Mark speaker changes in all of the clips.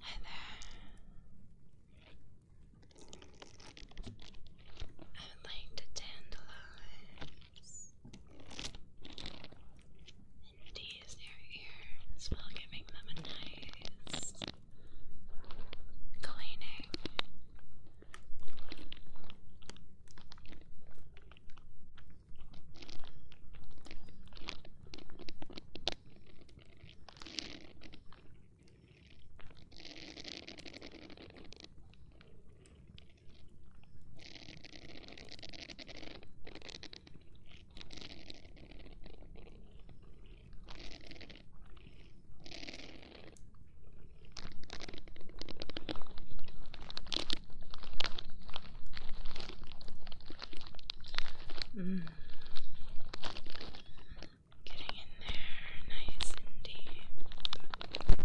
Speaker 1: Hi there. I would like to tantalize and tease your ears while giving them a nice cleaning. Mm. Getting in there nice and deep.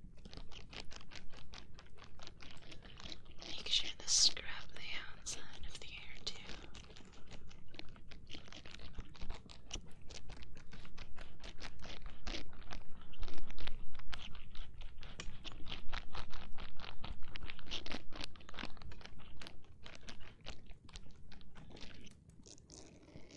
Speaker 1: Make sure to scrub the outside of the hair too.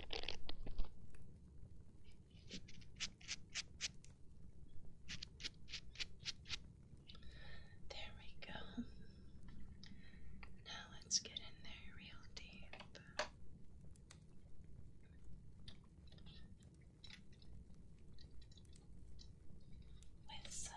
Speaker 1: There we go. Now let's get in there real deep. With some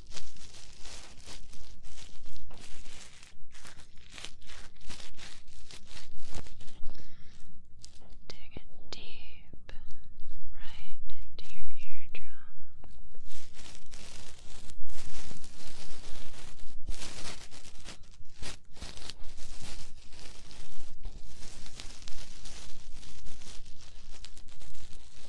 Speaker 1: Dig it deep right into your eardrum. Now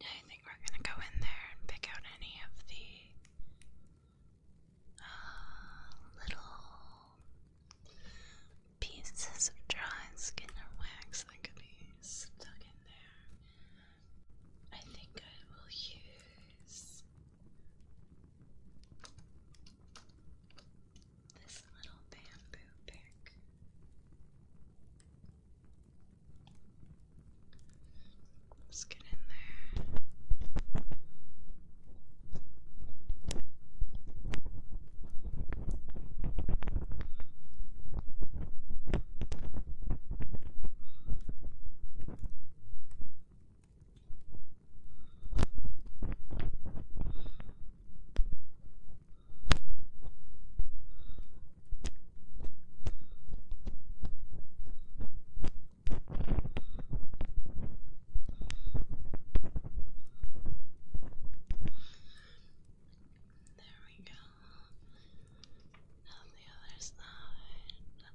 Speaker 1: I think we're gonna go in there and pick out any of the uh, little pieces of dry skin or wax that could be stuck in there. I think I will use this little bamboo pick. Let's get in there. There we go. On the other side. There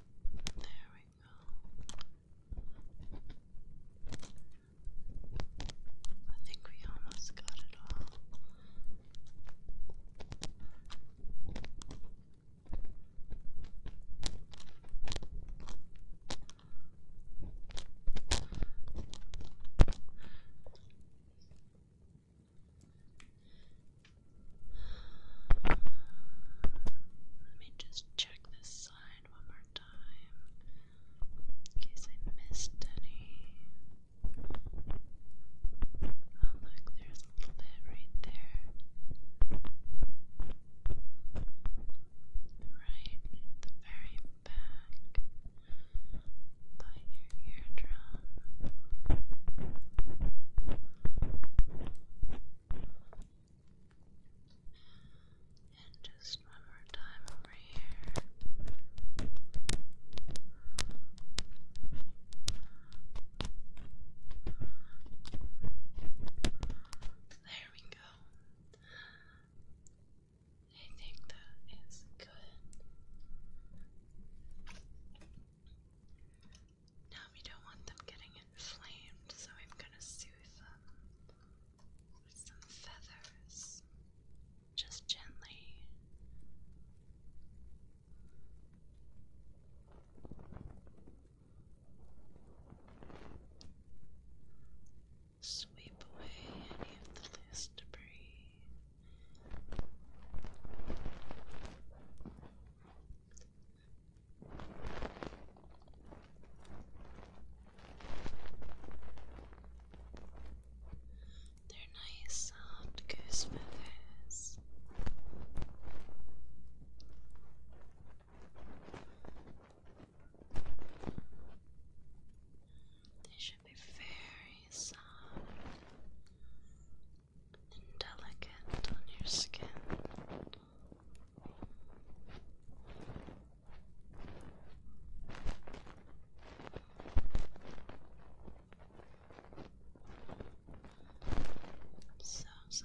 Speaker 1: There we go. I think we almost got it all. Let me just check this side one more time in case I missed any. Oh, look, there's a little bit right there. Right at the very back by your eardrum. And just one more time over here. There we go. I think that is good. Now we don't want them getting inflamed, so I'm gonna soothe them with some feathers, just gently. Sweep away any of the debris. They're nice soft goose feathers. They should be very soft delicate on your skin. So soft.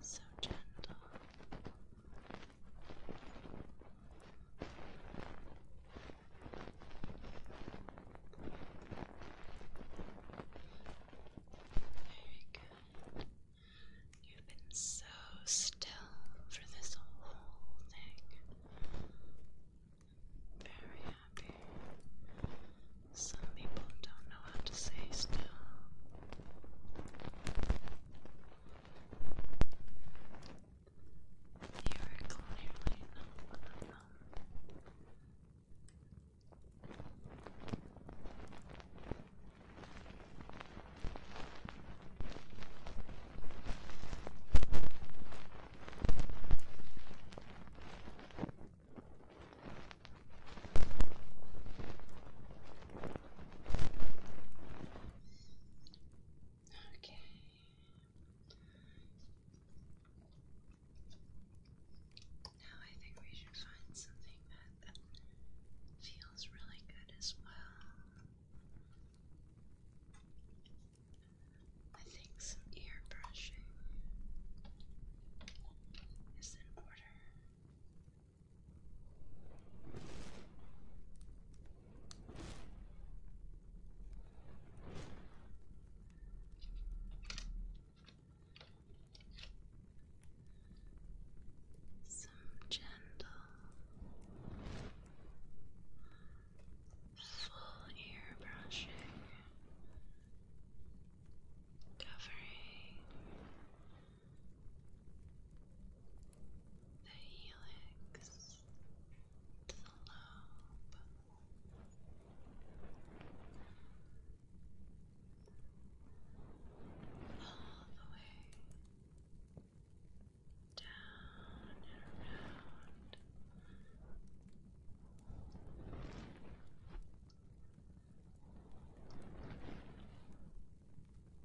Speaker 1: So gentle. Very You've been so still for this whole thing. Very happy. Some people don't know how to say still. You are clearly not one Okay. Now I think we should find something that um, feels really good as well. I think some ear brushing is in order. Some gentle full ear brushing, covering the helix to the lobe. All the way down and around.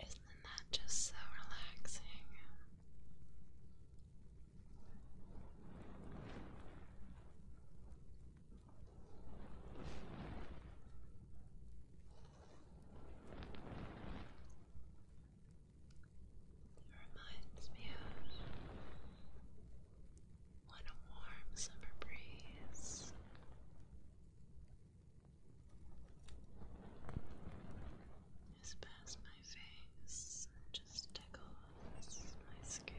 Speaker 1: Isn't that just so relaxing? It reminds me of what a warm summer breeze. Just past my face just tickles my skin.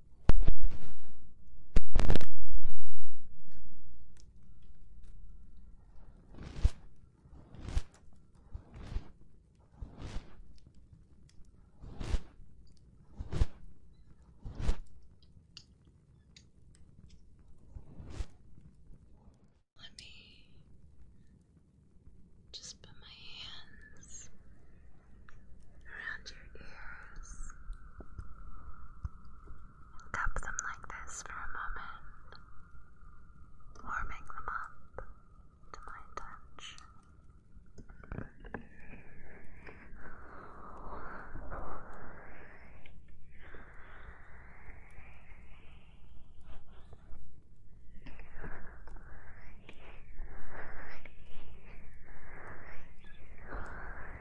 Speaker 1: Let me just put my hands around your them like this for a moment, warming them up to my touch. Thank you.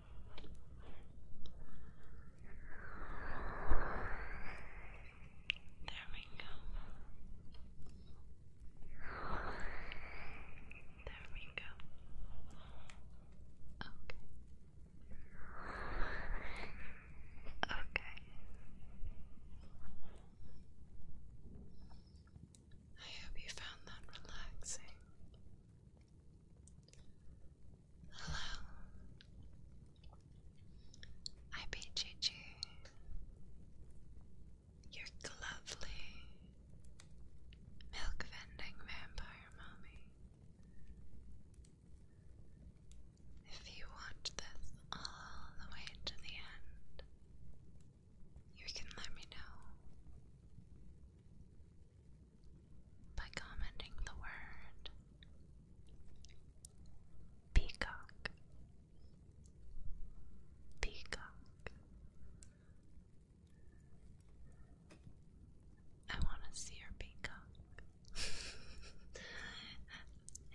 Speaker 1: There we go. There we go. Okay. Okay. I hope you found that relaxing. Hello. I beat you. You're lovely. Milk vending vampire mommy. If you watch this all the way to the end, you can let me know by commenting the word peacock, peacock. I want to see your peacock.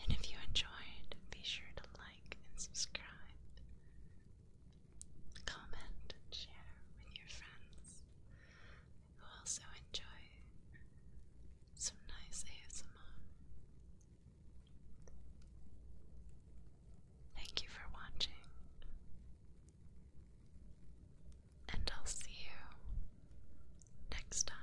Speaker 1: and if you enjoyed, be sure to like and subscribe comment, share with your friends who also enjoy some nice ASMR. Thank you for watching, and I'll see you next time.